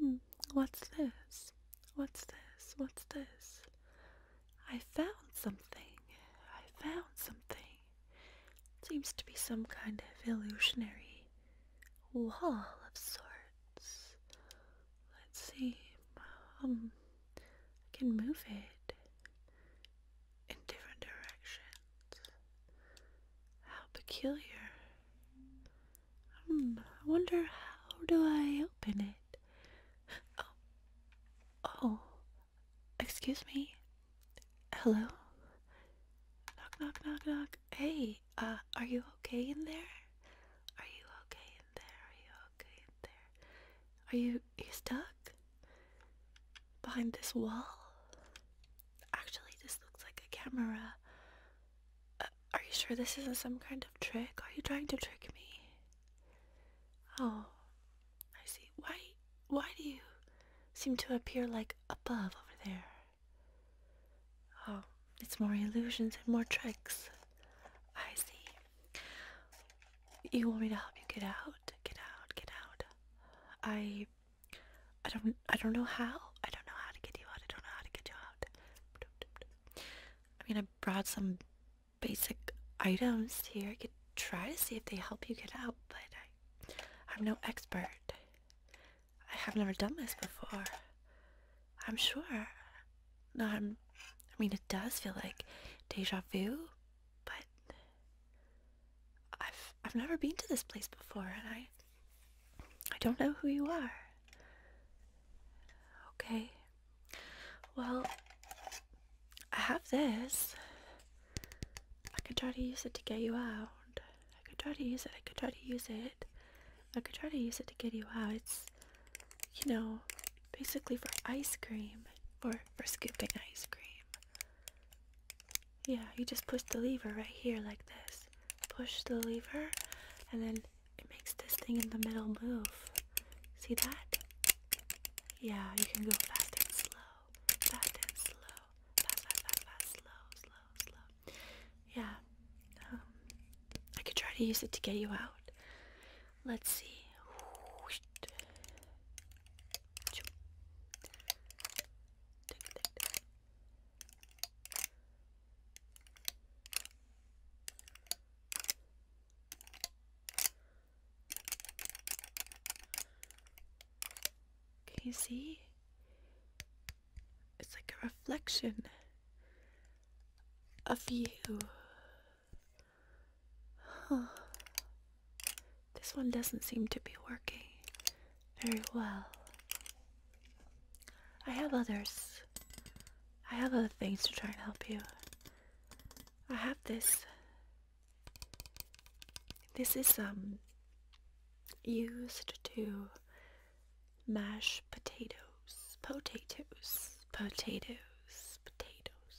Hmm, what's this? What's this? What's this? I found something. I found something. Seems to be some kind of illusionary wall of sorts. Let's see. Um, I can move it in different directions. How peculiar. Hmm, I wonder how do I open it? Oh, oh, Excuse me? Hello? Knock, knock, knock, knock. Hey, uh, are you okay in there? Are you okay in there? Are you okay in there? Are you, you stuck? Behind this wall? Actually, this looks like a camera. Uh, are you sure this isn't some kind of trick? Are you trying to trick me? Oh, I see. Why? why do you seem to appear like above over there? Oh, it's more illusions and more tricks. I see. You want me to help you get out? Get out, get out. I I don't I don't know how. I don't know how to get you out. I don't know how to get you out. I mean I brought some basic items here. I could try to see if they help you get out, but I I'm no expert. I have never done this before. I'm sure. No, I'm. I mean, it does feel like deja vu, but I've I've never been to this place before, and I I don't know who you are. Okay. Well, I have this. I could try to use it to get you out. I could try to use it. I could try to use it. I could try to use it to get you out. It's, you know, basically for ice cream. For, for scooping ice cream. Yeah, you just push the lever right here like this. Push the lever, and then it makes this thing in the middle move. See that? Yeah, you can go fast and slow. Fast and slow fast, fast, fast, slow, slow, slow. Yeah. Um, I could try to use it to get you out. Let's see. Can you see? It's like a reflection of you. This one doesn't seem to be working very well. I have others. I have other things to try and help you. I have this this is um used to mash potatoes, potatoes, potatoes, potatoes.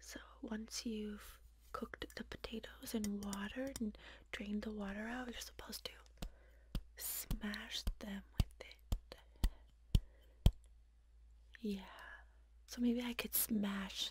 So once you've cooked the potatoes in water and drained the water out, you're supposed to smash them with it. Yeah. So maybe I could smash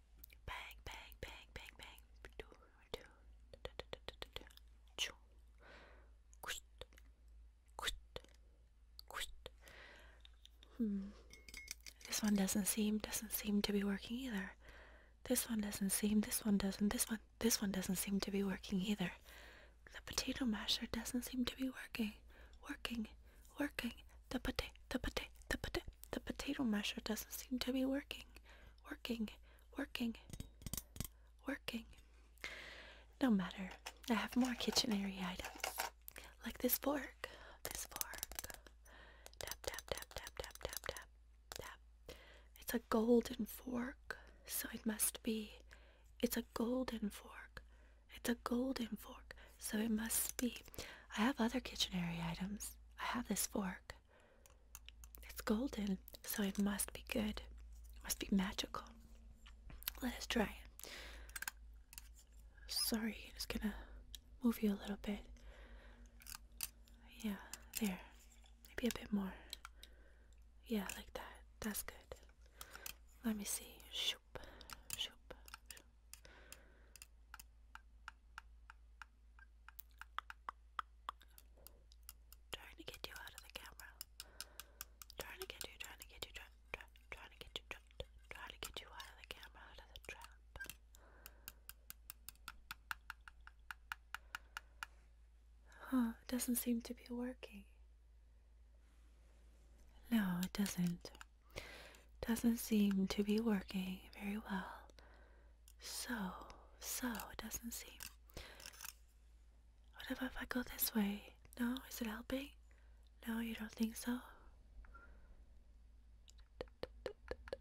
Bang, bang, bang, bang, bang. This one doesn't seem doesn't seem to be working either. This one doesn't seem. This one doesn't. This one. This one doesn't seem to be working either. The potato masher doesn't seem to be working. Working. Working. The potato. The potato. The potato. The potato masher doesn't seem to be working. Working, working, working. No matter. I have more kitchenary items. Like this fork. This fork. Tap, tap, tap, tap, tap, tap, tap, tap. It's a golden fork, so it must be. It's a golden fork. It's a golden fork, so it must be. I have other kitchenary items. I have this fork. It's golden, so it must be good. It must be magical. Let us try it. Sorry, i just gonna move you a little bit. Yeah, there. Maybe a bit more. Yeah, like that. That's good. Let me see. Shoop, shoop, shoop. Trying to get you out of the camera. Trying to get you, trying to get you, trying, to get you, trying, to get you out of the camera, out of the trap. Huh, it doesn't seem to be working. No, it doesn't. Doesn't seem to be working very well. So, so, it doesn't seem. What about if I go this way? No? Is it helping? No, you don't think so? Tap, tap, tap,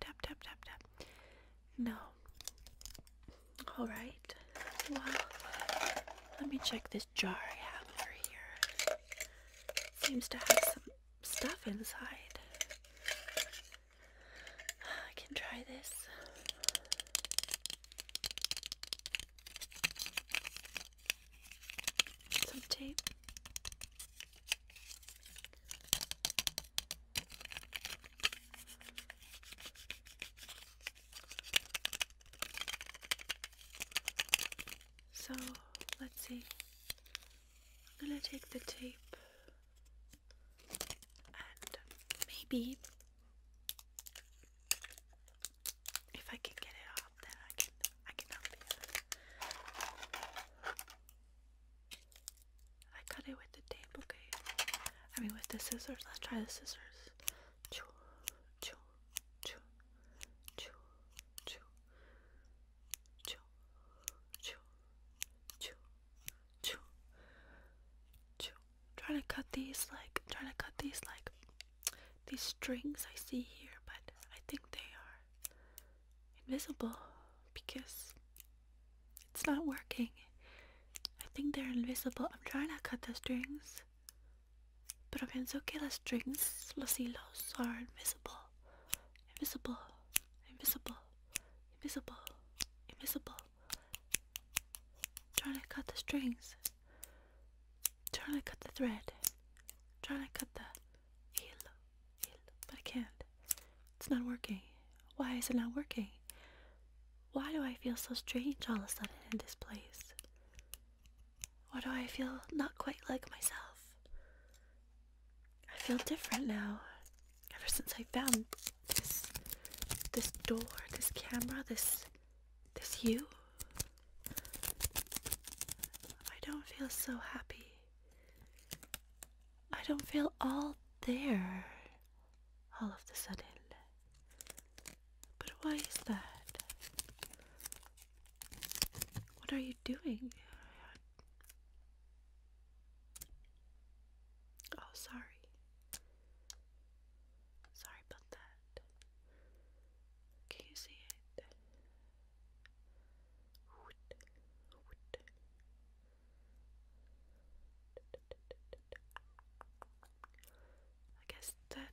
tap, tap, tap, tap. No. Alright. Well, let me check this jar I have over here. Seems to have some stuff inside. I can try this. Some tape. So let's see. I'm gonna take the tape and maybe if I can get it off then I can I can help you. I cut it with the tape, okay. I mean with the scissors, let's try the scissors. Choo, choo, choo, choo, choo, Choo, Try to cut these like try to cut these like these strings I see here, but I think they are invisible because it's not working. I think they're invisible. I'm trying to cut the strings. But Pero pienso que the strings, los hilos, are invisible. Invisible. Invisible. Invisible. Invisible. Trying to cut the strings. Trying to cut the thread. Trying to cut the heel. Heel. But I can't. It's not working. Why is it not working? Why do I feel so strange all of a sudden in this place? Why do I feel not quite like myself? I feel different now. Ever since I found this this door, this camera, this this you. I don't feel so happy. I don't feel all there all of a sudden. But why is that? What are you doing? Oh, sorry. Sorry about that. Can you see it? I guess that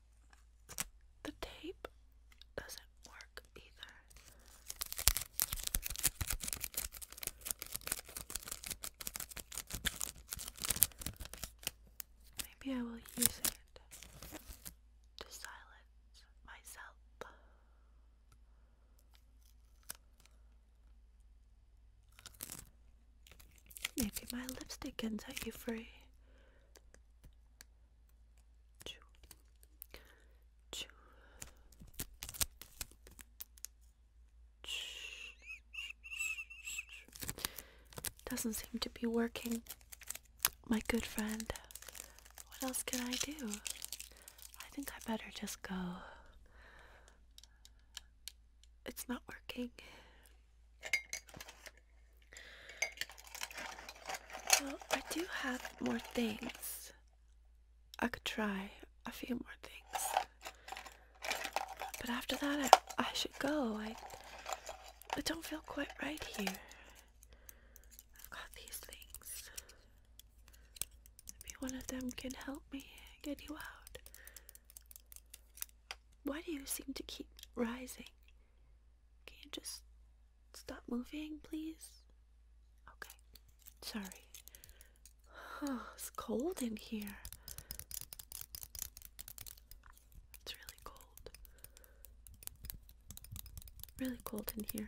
the tape doesn't work either. Maybe I will use it to silence myself. Maybe my lipstick can set you free doesn't seem to be working, my good friend. What else can I do? I think I better just go. It's not working. Well, I do have more things. I could try a few more things. But after that, I, should go. I, I don't feel quite right here. I've got these things. Maybe one of them can help me get you out. Why do you seem to keep rising? Can you just Stop moving, please. Okay. Sorry. it's cold in here. It's really cold. Really cold in here.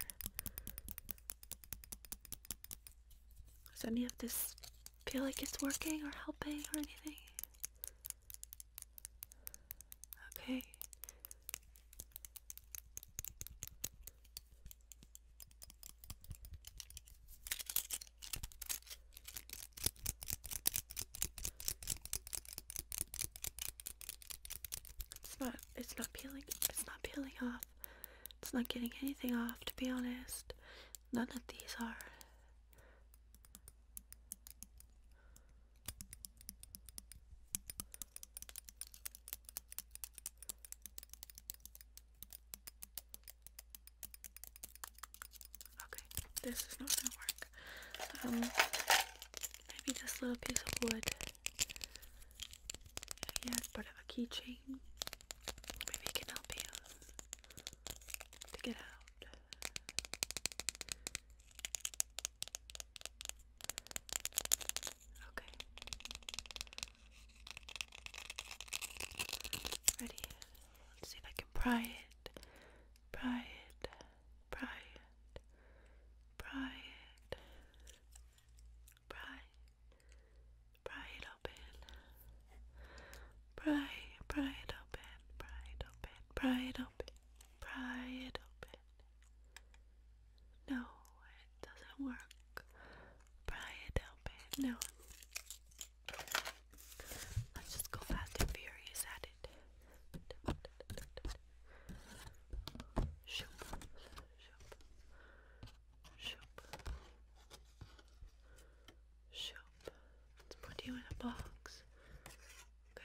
Does any of this feel like it's working or helping or anything? Okay. It's not it's not peeling it's not peeling off. It's not getting anything off to be honest. None of these are. Okay, this is not gonna work. Um, maybe this little piece of wood. If you part of a keychain, maybe it can help you to get out. Okay. Ready? Let's see if I can pry it. Pry it. Pry Pry Pry. Pry it open. Pry. Pry it open. Pry it open. Pry it open. Pry it open. No, it doesn't work. Brian, help it. No. Let's just go fast and furious at it. Shoop, shoop, shoop, shoop. Let's put you in a box. Okay.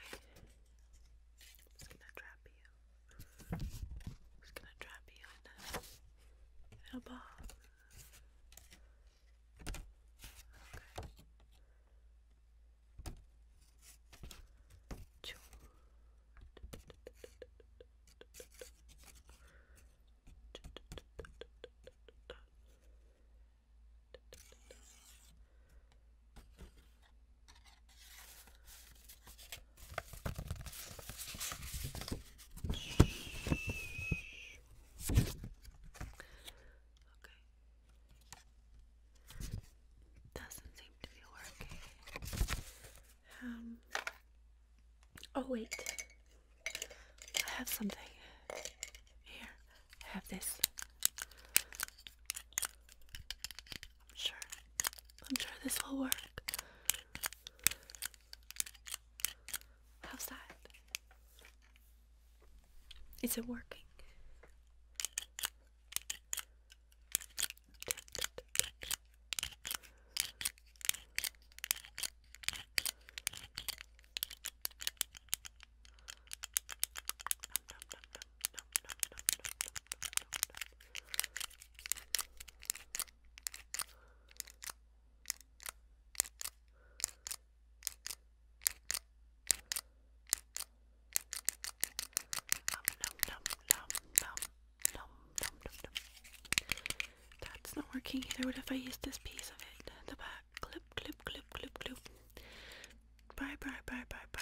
gonna trap you just gonna trap you in a, in a Okay. Okay. Doesn't seem to be working. Um oh wait. I have something. Here, have this. I'm sure. I'm sure this will work. How's that? Is it working? That's not working either. What if I use this piece of it? The back clip, clip, clip, clip, clip. Bye, bye, bye, bye, bye.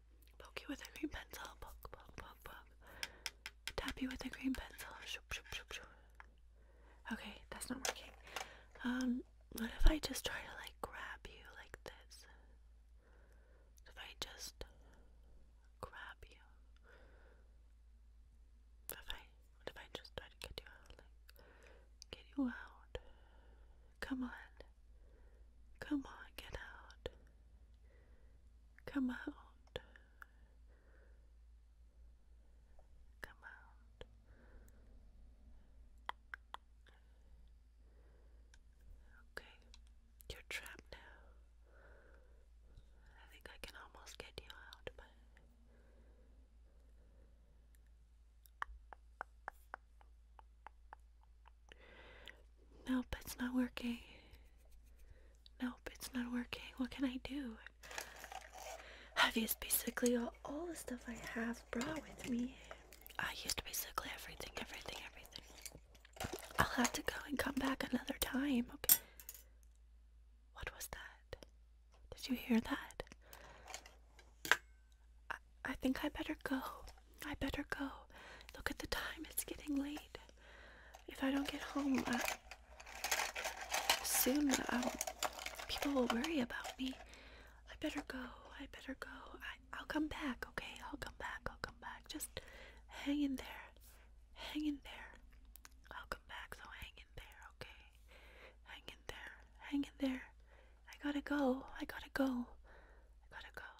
Poke you with a green pencil. Poke, poke, poke, poke. Tap you with a green pencil. Shoop, shoop, shoop, shoop. Okay, that's not working. Um, what if I just try to like grab you like this? If I just grab you. What if I what if I just try to get you out? Like get you out. Come on. Come on, get out. Come out. Come out. Okay, you're trapped now. I think I can almost get you out, but. Nope, it's not working. Nope, it's not working. What can I do? I've used basically all, all the stuff I have brought with me. I used basically everything, everything, everything. I'll have to go and come back another time, okay? What was that? Did you hear that? I, I think I better go. I better go. Look at the time, it's getting late. If I don't get home uh, soon, um, people will worry about me. I better go. I better go. I, will come back, okay? I'll come back. I'll come back. Just hang in there. Hang in there. I'll come back, so hang in there, okay? Hang in there. Hang in there. I gotta go. I gotta go. I gotta go.